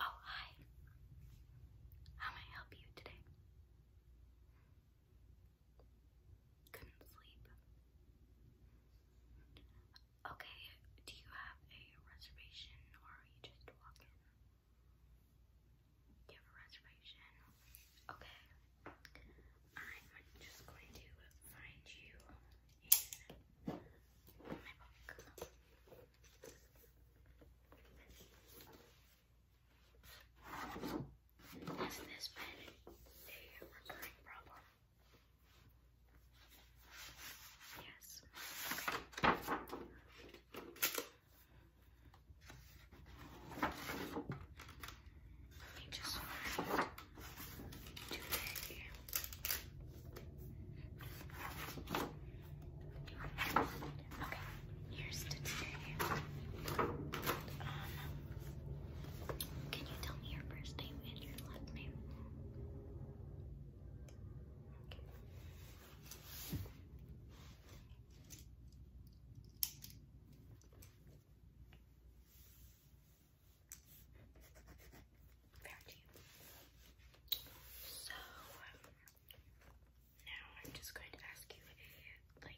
Oh, hi. How may I help you today? Couldn't sleep. Okay, do you have a reservation or are you just walking? Do you have a reservation? Okay. I'm just going to find you in my book. Hasn't this been a recurring problem Yes. Okay. Let me just find today. Okay, here's to today. Um, can you tell me your first name and your last name? Found you. So um, now I'm just going to ask you like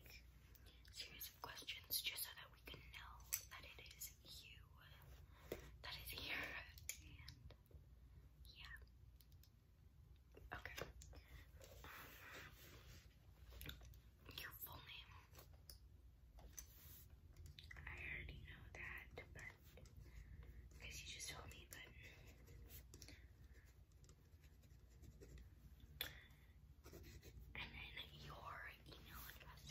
series of questions just so that we can know that it is is you. That is here. And yeah. Okay. Um, your full name. I already know that, but because you just told me, but and then your email address.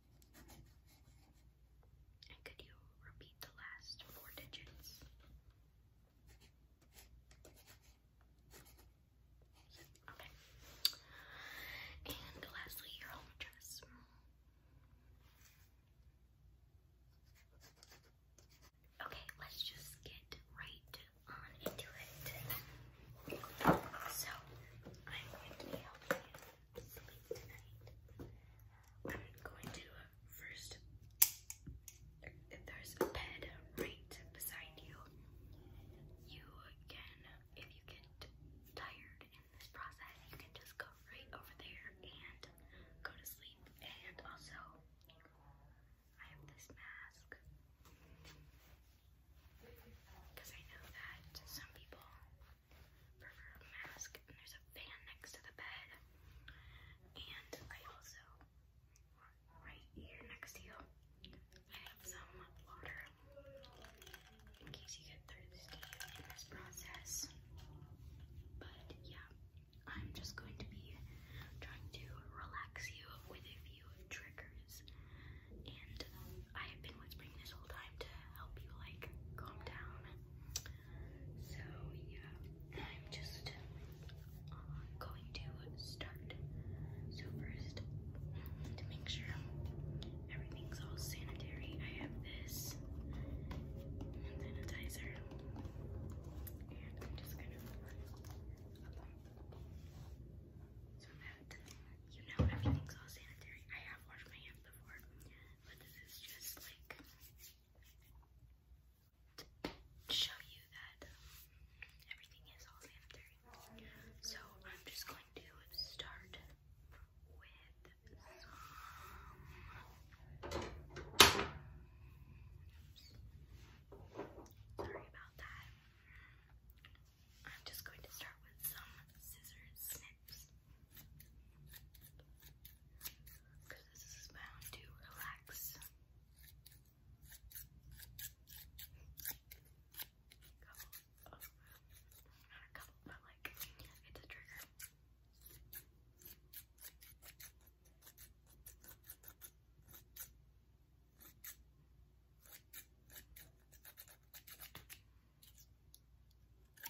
And could you repeat the last four digits? Okay. And lastly, your home address. Okay, let's just get right on into it. So, I'm going to be helping you to sleep tonight. I'm going to uh, first, there's a bed right beside you. You can, if you get tired in this process, you can just go right over there and go to sleep. And also, I have this mask. Because I know that some people for her mask. And there's a fan next to the bed. And I also, right here next to you, I have some water in case you get thirsty in this process. But yeah, I'm just going to be trying to relax you with a few triggers. And um, I have been whispering this whole time to help you like calm down. So yeah, I'm just uh, going to start. So first, to make sure everything's all sanitary, I have this sanitizer, and I'm just gonna so that you know everything's all sanitary. I have washed my hands before, but this is just like show you that everything is all sanitary. So I'm just going to start with Sorry about that. I'm just going to start with some scissors snips. Because this is bound to relax. Couple of, not a couple, but like, it's a trigger.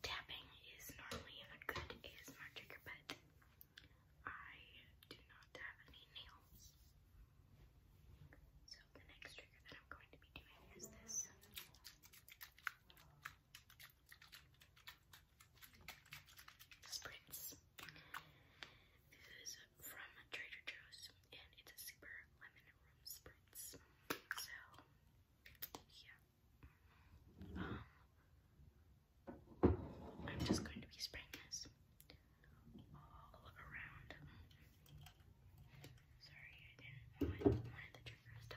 Tapping is normally a good ASMR trigger, but I do not have any nails. So the next trigger that I'm going to be doing is this. Spritz. This is from Trader Joe's and it's a super lemon room spray words. So, yeah. Um, I'm just going to be spraying all around. Sorry, I didn't want one of the triggers to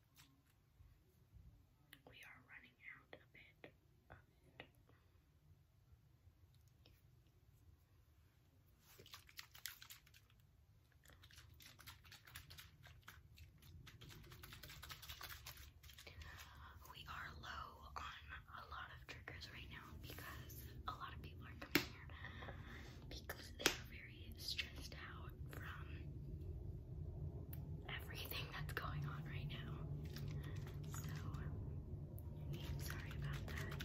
We are running out of it. We are low on a lot of triggers right now because a lot of people are coming here because they are very stressed out from everything that's going on right now. So, I'm sorry about that.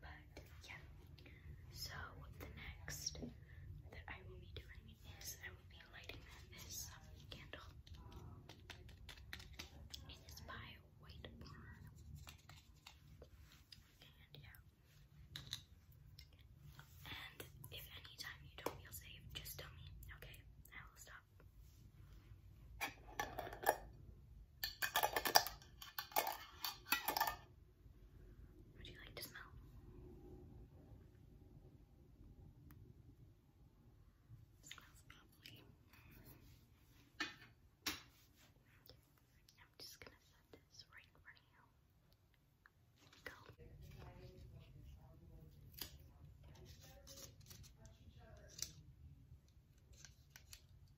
But yeah. So the next that I will be doing is I will be lighting this candle. It is by White Barn. And yeah. And if any time you don't feel safe, just tell me. Okay, I will stop. Would you like to smell? smells lovely. I'm just gonna set this right in front Go.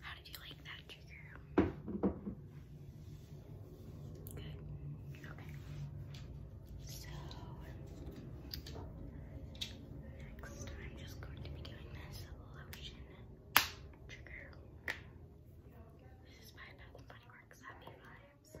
How did you like that trigger? Good. Okay. So Next, I'm just going to be doing this lotion trigger. This is by Bath Works Happy Vibes.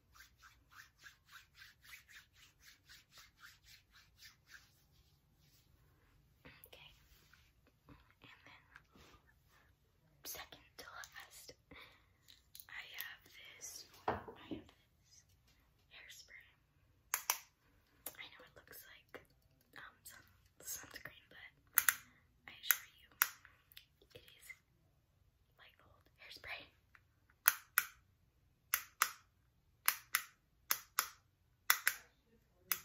Okay. And then second to last, I have this. I have this hairspray. I know it looks like um sun sunscreen, but I assure you, it is like old hairspray. I don't want to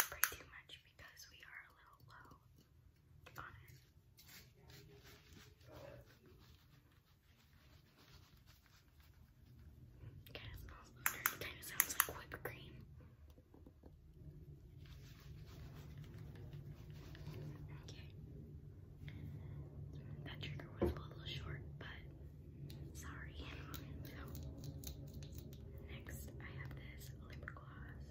spray too much because we are a little low on it. smells like whipped cream. Okay. That trigger was a little short, but sorry. So, next I have this Lip gloss.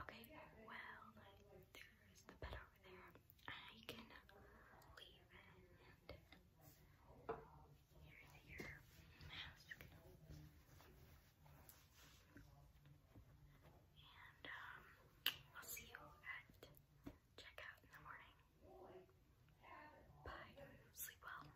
Okay, well, there's the bed over there. I can leave and here's your mask. And um, I'll see you at checkout in the morning. Bye. Sleep well.